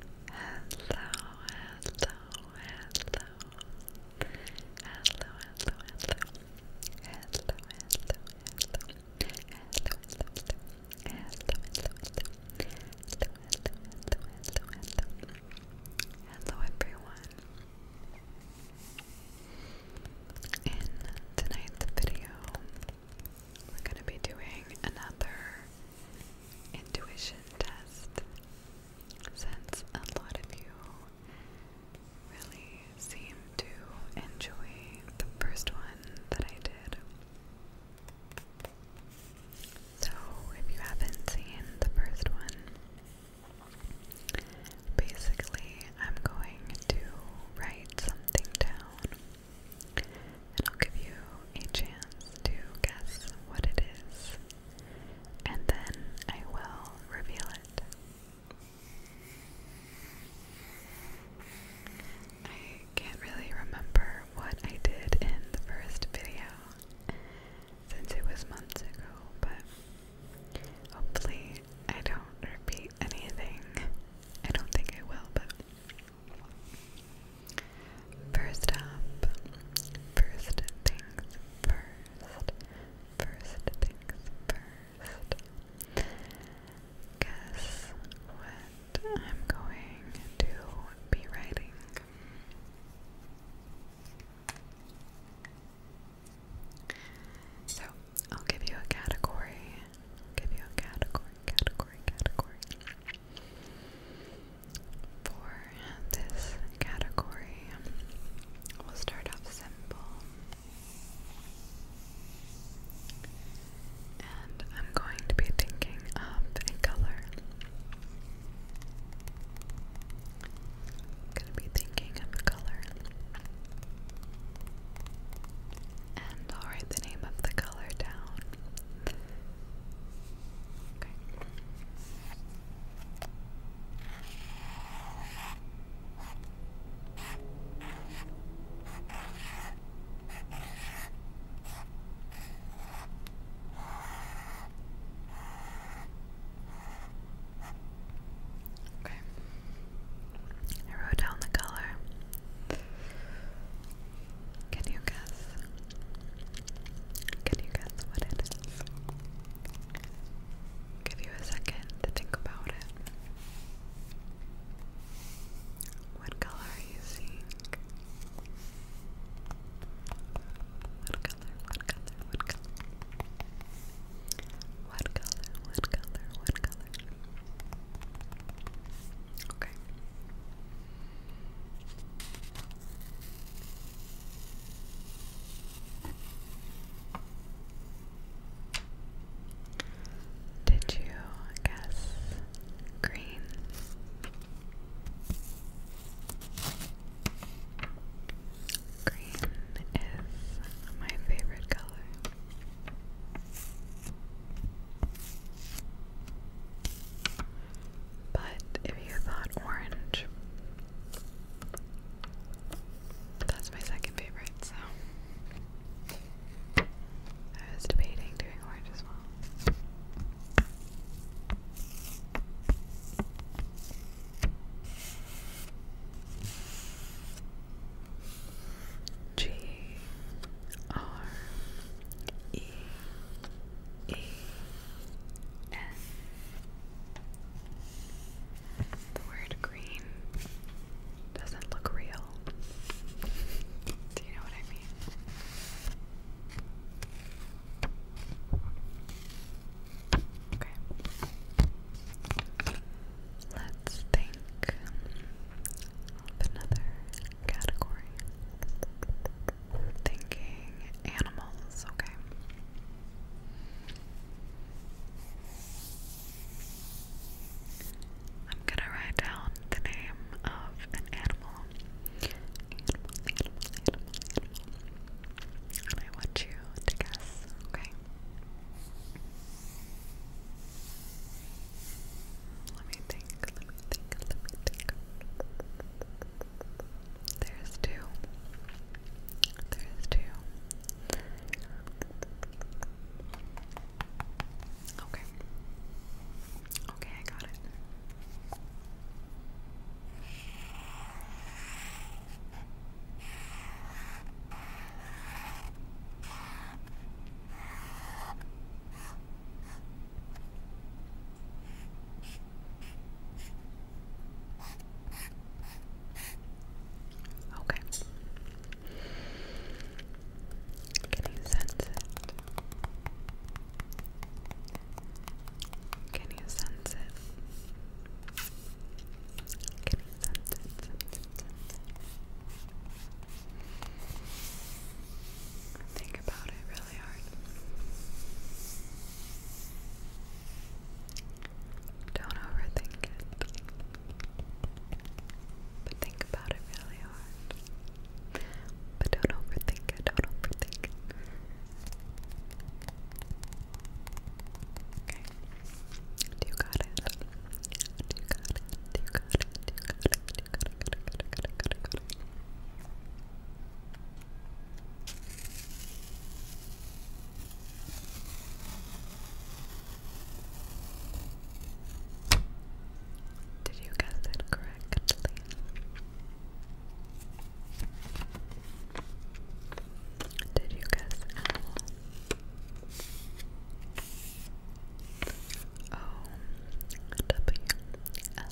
hello, hello, hello, hello, hello, hello, hello. Hello, hello, hello, hello, hello, hello, hello, hello, hello, everyone. In tonight's video, we're going to be doing another intuition test since a lot of you really seem to enjoy the first one that I did. So, if you haven't seen the first one, basically I'm going to write something down I'll give you a chance to guess what it is, and then I will reveal it. I can't really remember what I did in the first video since it was months ago, but hopefully I don't repeat anything. I don't think I will, but First up, first things first, first things first. Guess what I'm going to be writing. So, I'll give you a category. give you a category, category, category. For this category, we'll start off simple. And I'm going to be thinking of a color. going to be thinking of a color. And write the name of the color down. Okay. Okay. I wrote down the color. Can you guess? Can you guess what it give you a second to think about it. What color are you seeing? What color? What color? What color? What color? What color? Okay. Did you guess green? Green is my favorite color. But if you thought orange, that's my second favorite, so I was debating doing orange as well. G R E E N. The word green doesn't look real. Do you know what I mean? Okay. Let's think of another category. Thinking animals, okay. I'm gonna write down the name of an animal. And I want you to guess, okay? Let me think, think, think. There's two. There's two. Okay. Okay, I got it. Okay. Can you sense it? Can you sense it? Can you sense it? Think about it really hard. Don't overthink it. But think about it really hard. But don't overthink it, don't overthink Okay. Do you got it? Do you got it? Do you got it? Do you got it? Did you guess it correctly? Did you guess animal? O W L L. W L.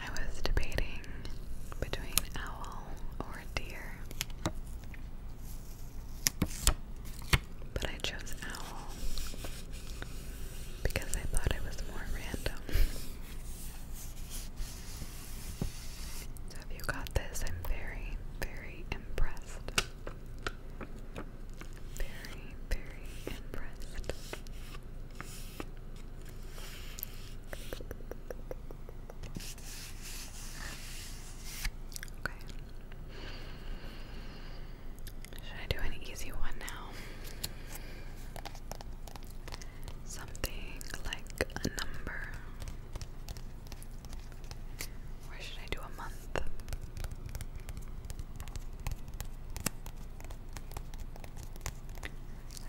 I was debating between owl or deer. But I chose owl because I thought it was more random. So if you got this, I'm very, very impressed. Very, very impressed. Okay. Should I do an easy one now? Something like a number. Or should I do a month?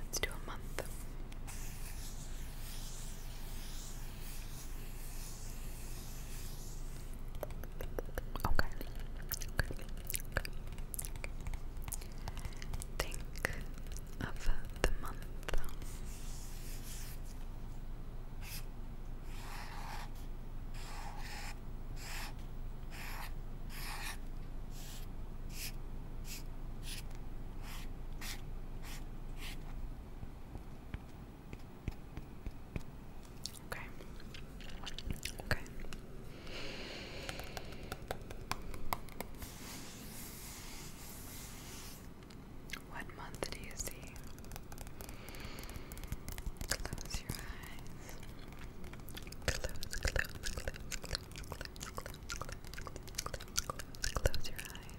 Let's do a month. Okay. Okay. Think of the month. Okay. Okay. What month do you see? Close your eyes. Close, close, close, close, close, close, close, close, close, close your eyes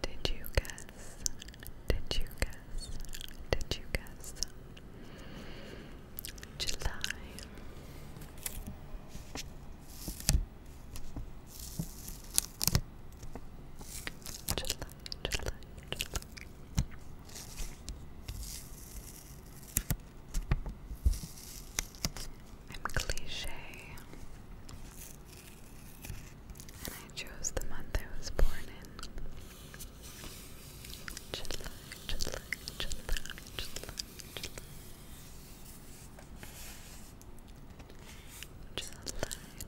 did you guess? Did you guess? Did you guess? July. July. I'm cliche. And I chose the month I was born in. July, July, July, July.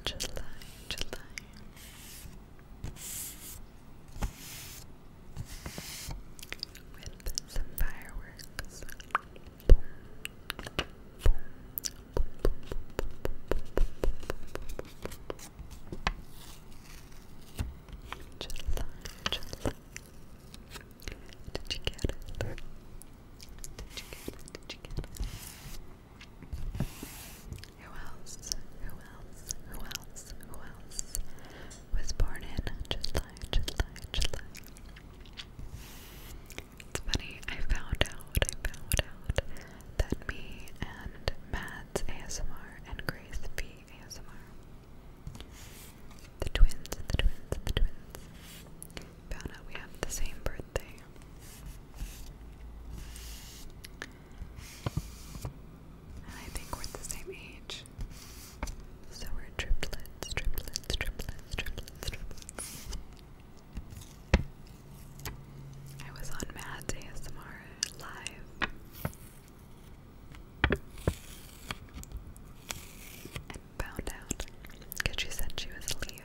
July, July, July with some fireworks. Boom. Boom. Boom. Chilla, chilla. Did you get it? Did you get it? Did you get it? Who else? Who else? Who else? Who else was born in July, July, July? It's funny, I found out, I found out that me and Matt ASMR and Grace V ASMR, the twins, the twins, the twins, found out we have the same birthday. I think we're the same age. So we're triplets, triplets, triplets, triplets, I was on Mads ASMR live. And found out because she said she was Leo.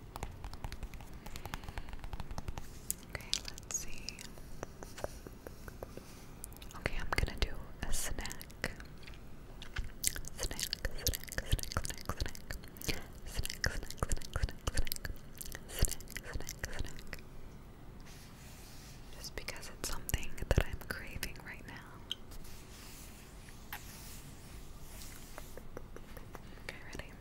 Okay, let's see. Okay, I'm gonna do a snack. Snack, snack, snack, snack, snack. Snack, snack, snack, snack, snack. Snack, snack, snack. Just because it's something that I'm craving right now. Okay, ready?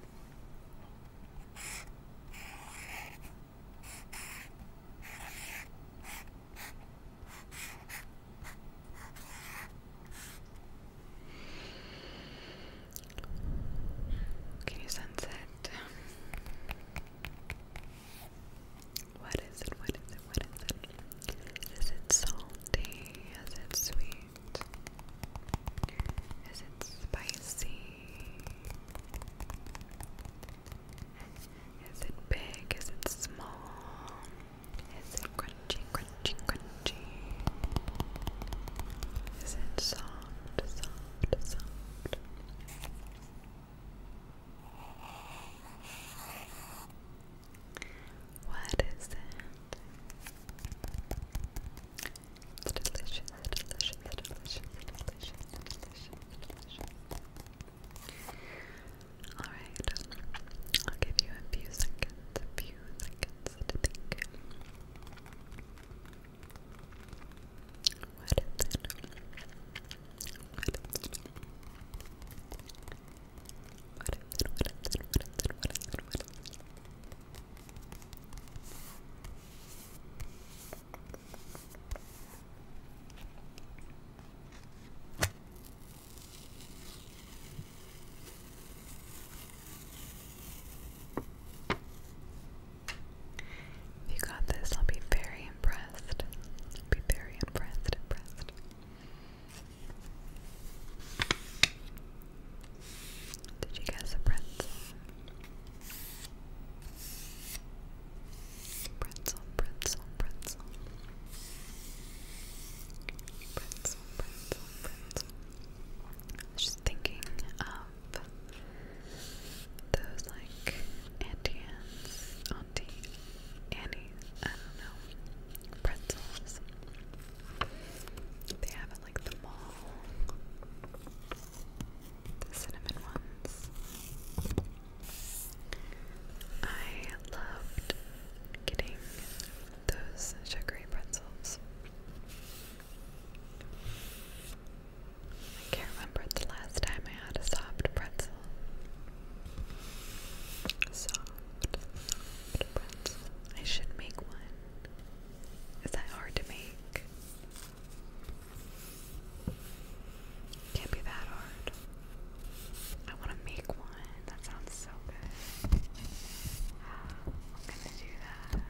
Can you sense it? What is it? What is it? What is it? Is it salty? Is it sweet? Is it spicy? Is it big? Is it small? Is it crunchy, crunchy, crunchy? Is it soft, soft, soft? What is it? It's delicious, delicious, delicious, delicious, delicious, delicious. Alright, I'll give you a few seconds, a few seconds to think. What is it? What is it? If you got this, I'll be very impressed. I'll be very impressed, impressed. Did you guess a pretzel? Pretzel, pretzel, pretzel. Pretzel, pretzel, pretzel. just thinking of those like Auntie Auntie Annie's, I don't know, pretzels. They have at like the mall. The cinnamon ones. I loved getting those sugary pretzels. I can't remember the last time I had a soft pretzel. soft pretzel. I should make one. Is that hard to make? Can't be that hard. I want to make one. That sounds so good. I'm gonna do that.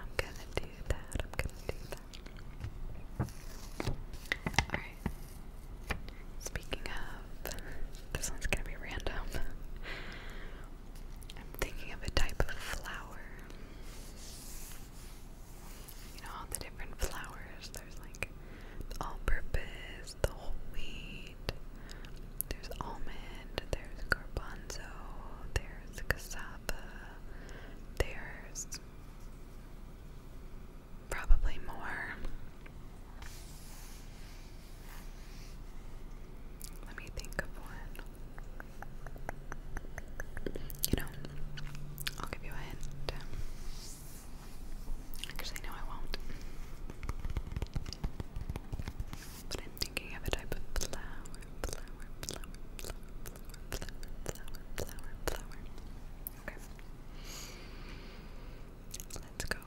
I'm gonna do that. I'm gonna do that. Alright, Speaking of, this one's gonna be random. I'm thinking of a type of flower. You know, all the different flowers. There's like all purpose, the whole wheat, there's almond, there's garbanzo, there's cassava, there's probably more. Let me think of one. You know, I'll give you a hint. Actually, no, I won't. But I'm thinking of a type of flower, flower, flower, flower, flower, flower, flower, flower, Okay. Let's go.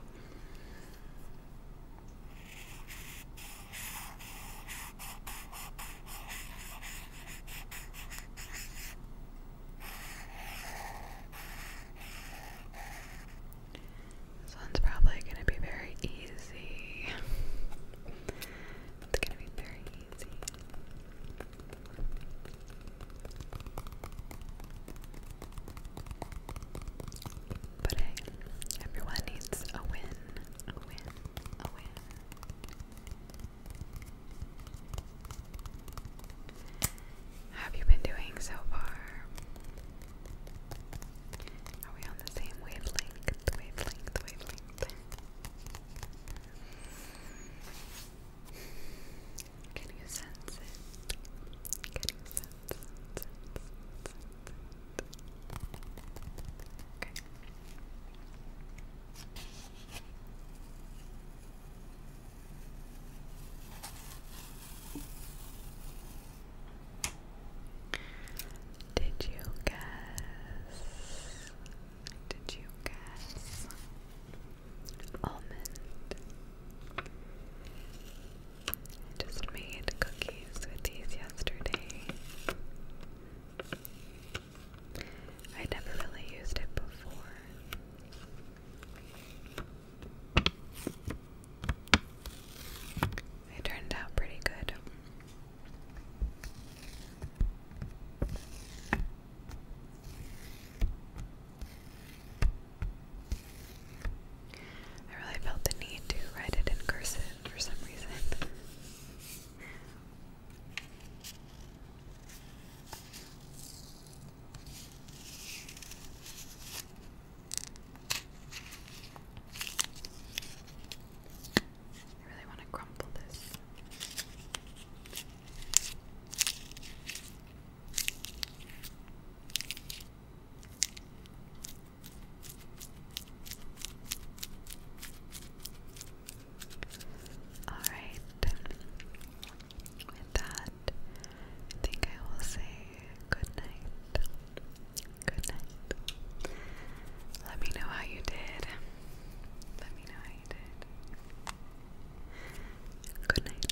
This one's probably going to be very easy. it's going to be very easy. But everyone needs a win, a win, a win. have you been doing so far? Are we on the same wavelength? Wavelength, wavelength. Can you sense it? Did you guess? Did you guess? almond. I just made cookies with these yesterday. I never really used it before. It turned out pretty good. I really felt the need to write it in cursive for some reason. I really want to crumple this. All right. With that, I think I will say good night. Good night. Let me know how you did. Let me know how you did. Good night.